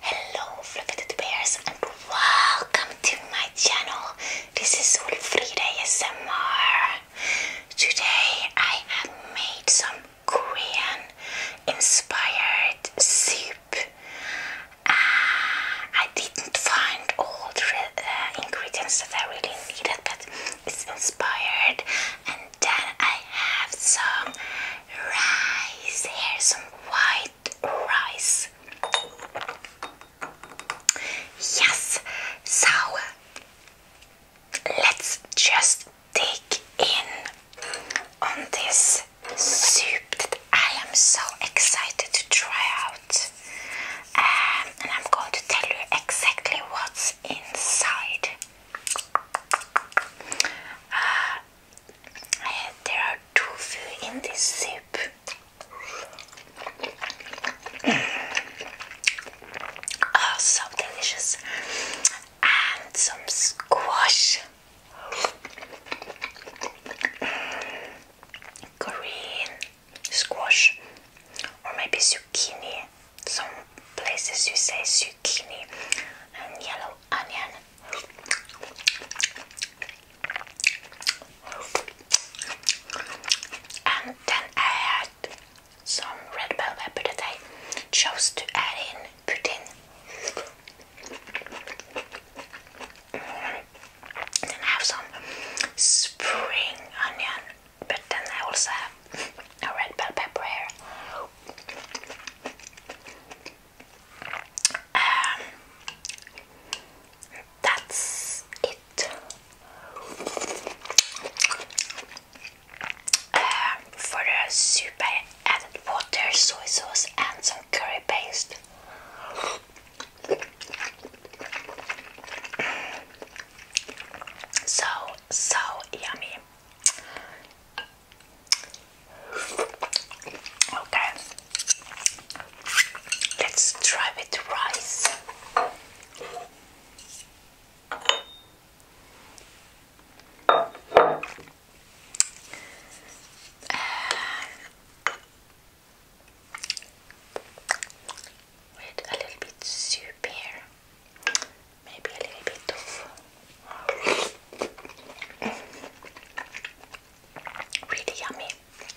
Hello fluffy bears and welcome to my channel. This is Wolfrida ASMR. Today I have made some Korean inspired soup. Uh, I didn't find all the uh, ingredients that I really needed, but it's inspired. And then I have some rice here, some white rice. Yes, so let's just dig in on this soup that I am so excited to try out. Um, and I'm going to tell you exactly what's inside. Uh, there are two foods in this soup. oh, so delicious. And some squash. Green squash. Or maybe zucchini. Some places you say zucchini and yellow onion. And then I some red bell pepper that I chose to add in, put in. And mm. have some spring onion, but then I also have a red bell pepper here. Um, that's it um, for the soup I added water, soy sauce and some curry paste. So, so yummy. Okay, let's try with rice. With a little bit soup here, maybe a little bit of um, really yummy.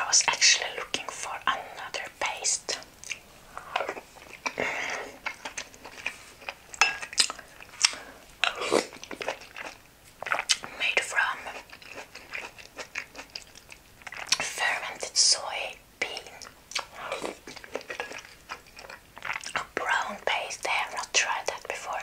I was actually looking for another paste. Made from fermented soybean. A brown paste, I have not tried that before.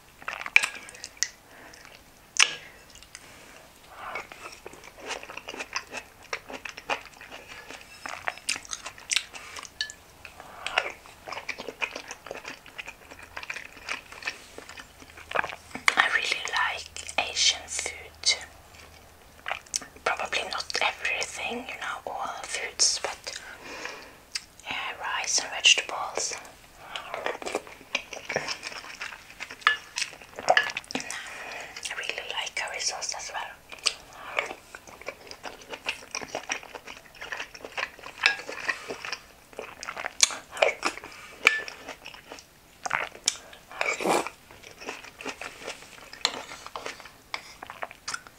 I really like Asian food. Probably not everything, you know, all foods, but yeah, rice and vegetables. I really like curry sauce as well.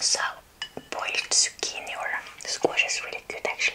So, boiled zucchini or squash is really good actually.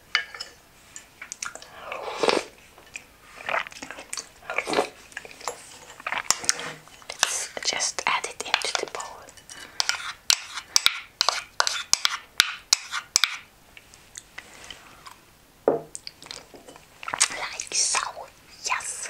just add it into the bowl. Like so, yes.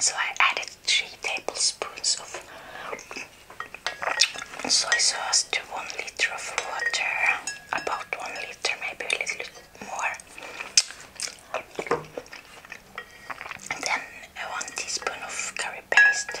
So I added three tablespoons of soy sauce to one liter of water, about one liter, maybe a little more. And then one teaspoon of curry paste.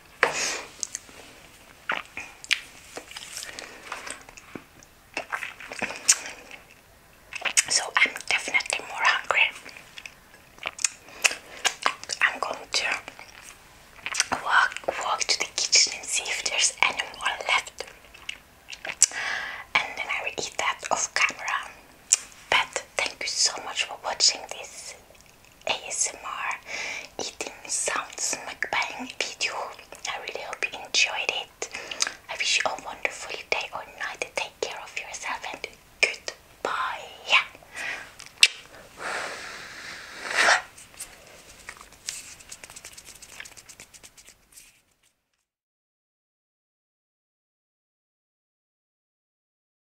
So I'm definitely more hungry. I'm going to walk walk to the kitchen and see if there's any more left. And then I will eat that off camera. But thank you so much for watching this ASMR eating sounds mukbang video. I really hope you enjoyed it. I wish you a wonderful day or night. Take care of yourself and goodbye. Yeah.